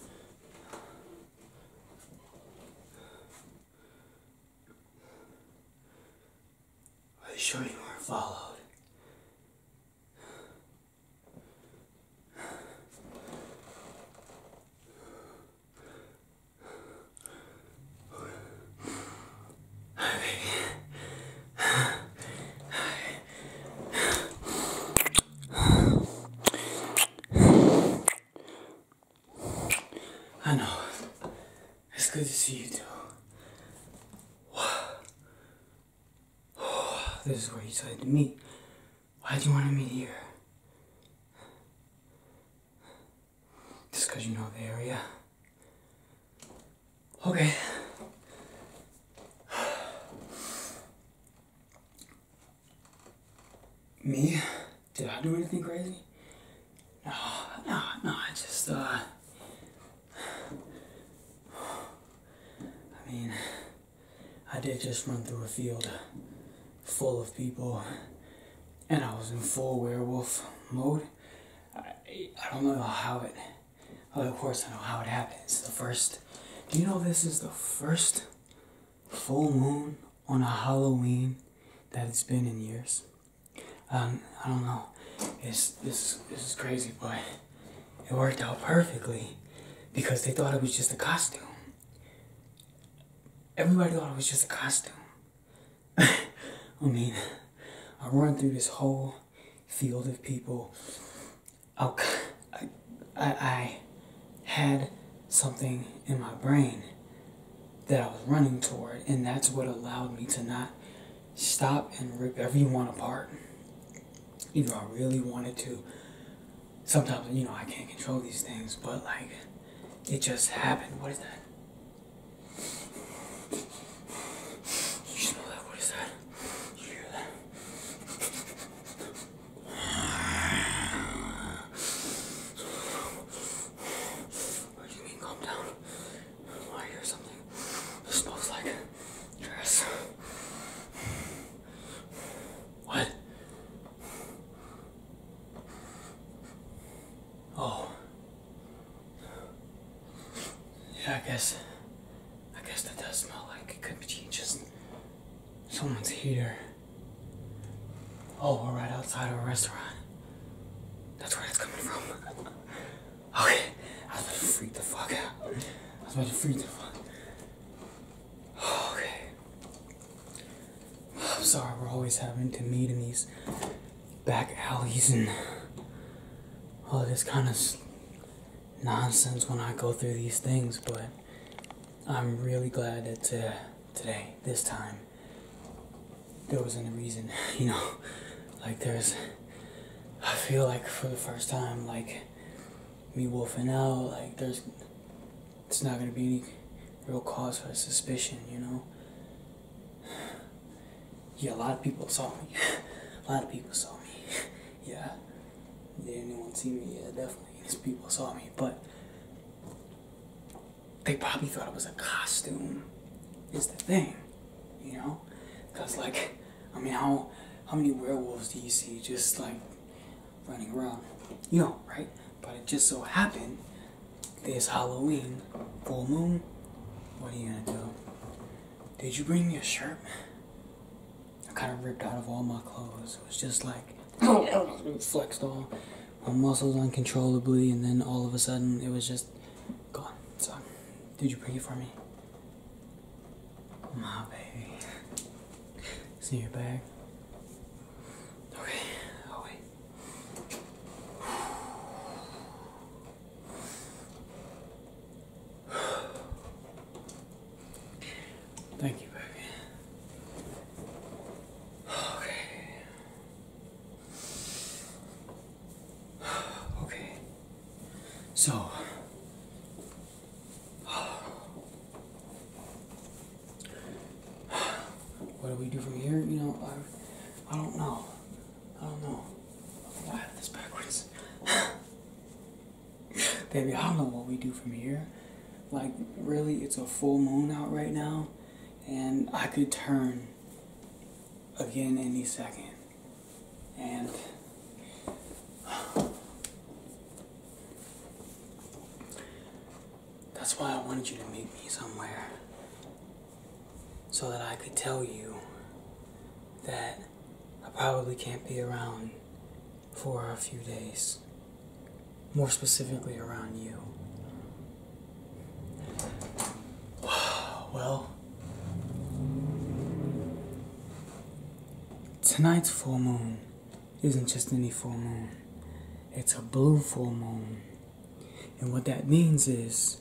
Are you sure you are not followed? I know. It's good to see you too. This is where you decided to meet. Why do you want to meet here? Just because you know the area. Okay. Me? Did I do anything crazy? No, no, no, I just, uh, I mean, I did just run through a field full of people, and I was in full werewolf mode. I, I don't know how it. Well, of course, I know how it happens. The first. Do you know this is the first full moon on a Halloween that it's been in years. Um, I don't know. It's this this is crazy, but it worked out perfectly because they thought it was just a costume. Everybody thought it was just a costume. I mean, I run through this whole field of people Oh, I, I, I had something in my brain that I was running toward, and that's what allowed me to not stop and rip everyone apart. Even though I really wanted to. Sometimes, you know, I can't control these things, but like, it just happened. What is that? You smell What is that? You hear that? What do you mean calm down? Well, I hear something. smells like dress. What? Oh. Yeah, I guess. I guess that does smell like it could be just someone's heater. Oh, we're right outside of a restaurant. That's where it's coming from. Okay, I was going to freak the fuck out. I was about to freak the fuck. Okay. I'm sorry, we're always having to meet in these back alleys and all this kind of nonsense when I go through these things, but I'm really glad that uh, today, this time, there wasn't a reason, you know? Like, there's. I feel like for the first time, like, me wolfing out, like, there's. It's not gonna be any real cause for suspicion, you know? Yeah, a lot of people saw me. a lot of people saw me. yeah. Did anyone see me? Yeah, definitely these people saw me, but they probably thought it was a costume, is the thing, you know? Because, like, I mean, how, how many werewolves do you see just like running around? You know, right? But it just so happened this Halloween, full moon. What are you gonna do? Did you bring me a shirt? I kind of ripped out of all my clothes. It was just like flexed all my muscles uncontrollably, and then all of a sudden it was just gone. So, did you bring it for me? My baby. See your bag. Okay, i wait. Thank you, baby. Okay. Okay. So. What do we do from here? You know, I, I don't know. I don't know. I this backwards. Baby, I don't know what we do from here. Like, really, it's a full moon out right now, and I could turn again any second. And. That's why I wanted you to meet me somewhere. So that I could tell you that I probably can't be around for a few days, more specifically around you. Well, tonight's full moon isn't just any full moon, it's a blue full moon. And what that means is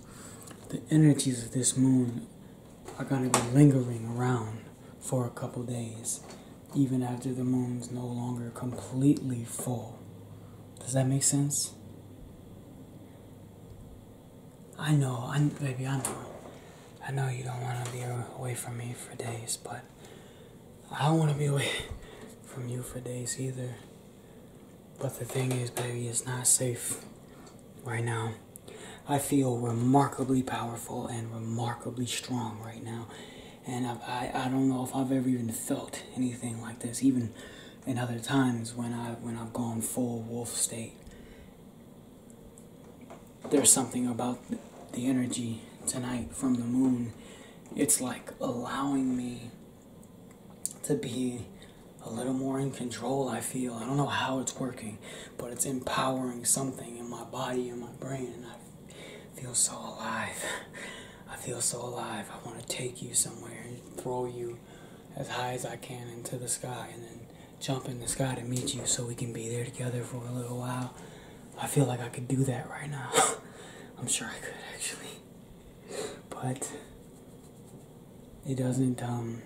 the energies of this moon are going to be lingering around for a couple days even after the moon's no longer completely full. Does that make sense? I know, I, baby, I know. I know you don't want to be away from me for days, but I don't want to be away from you for days either. But the thing is, baby, it's not safe right now. I feel remarkably powerful and remarkably strong right now and I, I, don't know if I've ever even felt anything like this, even in other times when I when I've gone full wolf state. There's something about the energy tonight from the moon. It's like allowing me to be a little more in control, I feel. I don't know how it's working, but it's empowering something in my body and my brain, feel so alive. I feel so alive. I want to take you somewhere and throw you as high as I can into the sky and then jump in the sky to meet you so we can be there together for a little while. I feel like I could do that right now. I'm sure I could actually. But it doesn't um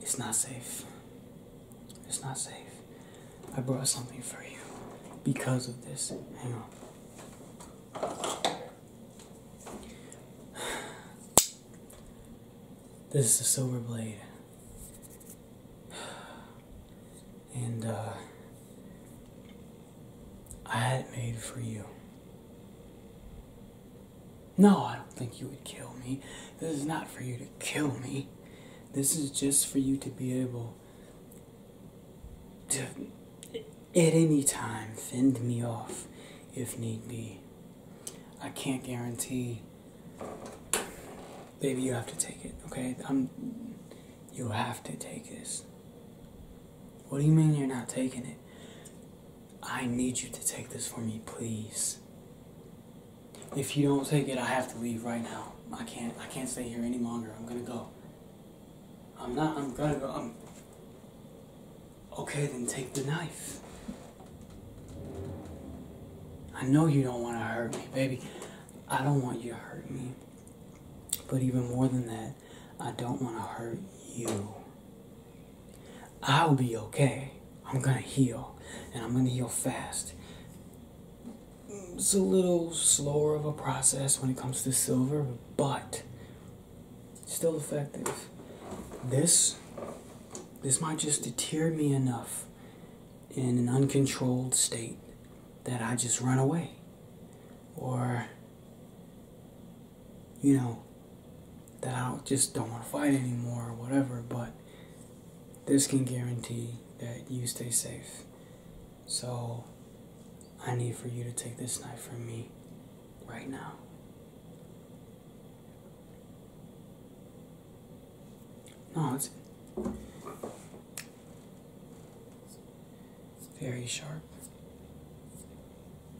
it's not safe. It's not safe. I brought something for you because of this. Hang on. This is a silver blade. And uh, I had it made for you. No, I don't think you would kill me. This is not for you to kill me. This is just for you to be able to, at any time, fend me off if need be. I can't guarantee. Baby, you have to take it, okay? i You have to take this. What do you mean you're not taking it? I need you to take this for me, please. If you don't take it, I have to leave right now. I can't. I can't stay here any longer. I'm gonna go. I'm not. I'm gonna go. I'm. Okay, then take the knife. I know you don't want to hurt me, baby. I don't want you to hurt me. But even more than that, I don't want to hurt you. I'll be okay. I'm gonna heal, and I'm gonna heal fast it's a little slower of a process when it comes to silver, but still effective. This this might just deter me enough in an uncontrolled state that I just run away. Or you know, that I just don't want to fight anymore or whatever, but this can guarantee that you stay safe. So, I need for you to take this knife from me right now. No, it's very sharp.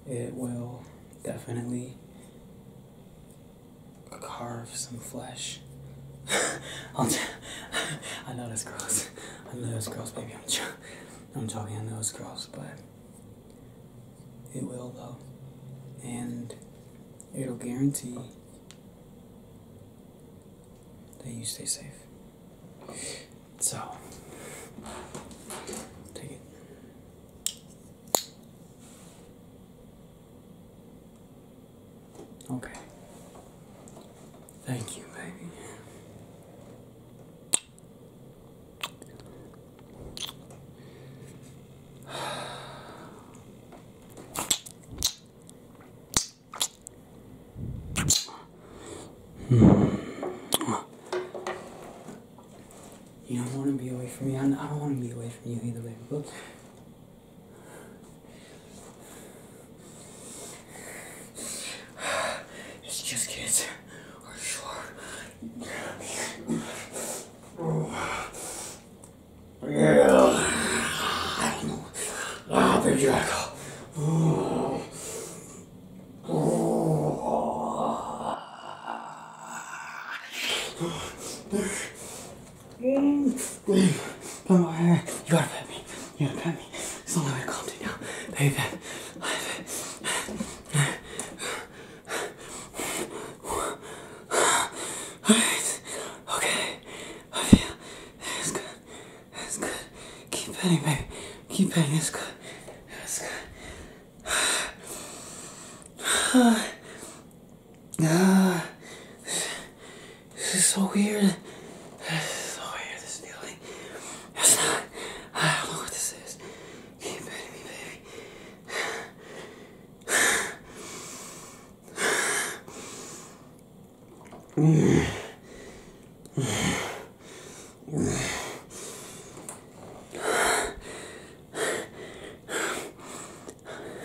It will definitely carve some flesh. I'll t- i know those girls. I know those girls. Maybe I'm, ch- I'm talking. I know it's gross, but it will though, and it'll guarantee that you stay safe. So take it. Okay. Thank you, baby. You don't want to be away from me. I don't want to be away from you either, baby. But it's just kids. Are you sure? Yeah. I don't know. Ah, baby Draco. Oh. Oh. Blow my hair. You gotta pet me. You gotta pet me. It's the only way to calm down now. Baby pet. Alright. Okay. I feel that's good. That's good. Keep petting, baby. Keep petting. That's good. That's good. Ah, this is so weird. This is so weird, this feeling. It's not, I don't know what this is. Keep petting me, baby.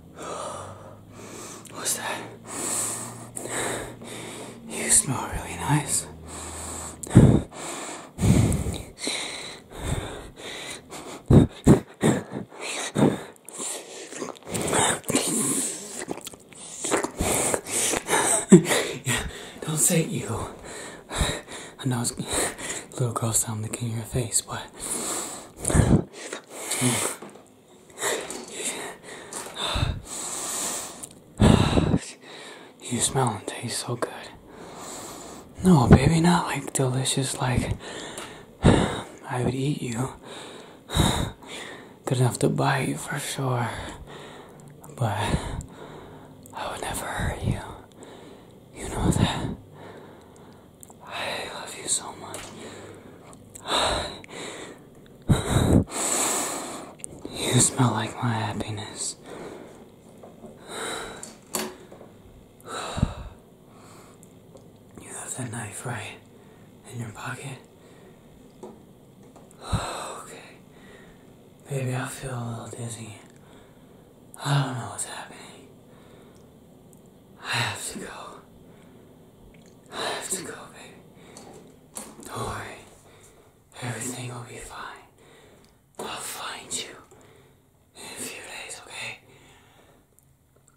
What's that? You smell really nice. yeah, don't say you. I know it's a little gross sound looking in your face, but You smell and taste so good. No, baby, not like delicious, like I would eat you. Good enough to bite you for sure. But I would never hurt you. You know that. I love you so much. You smell like my happiness. You have that knife right in your pocket. Okay. Baby, I feel a little dizzy. I don't know what's happening. I have to go. I have to go, baby. Don't worry. Everything will be fine. I'll find you in a few days, okay?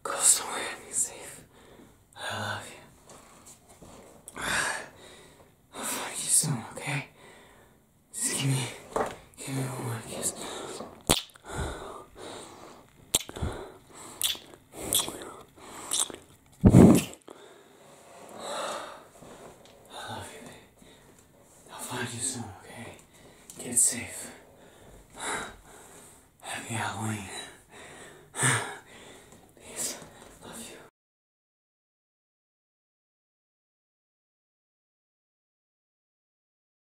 Go somewhere and be safe. I love you. I'll find you soon, okay? Just give me, give me one more kiss. I'll find you soon, okay? Get safe. Happy Halloween. Peace. Love you.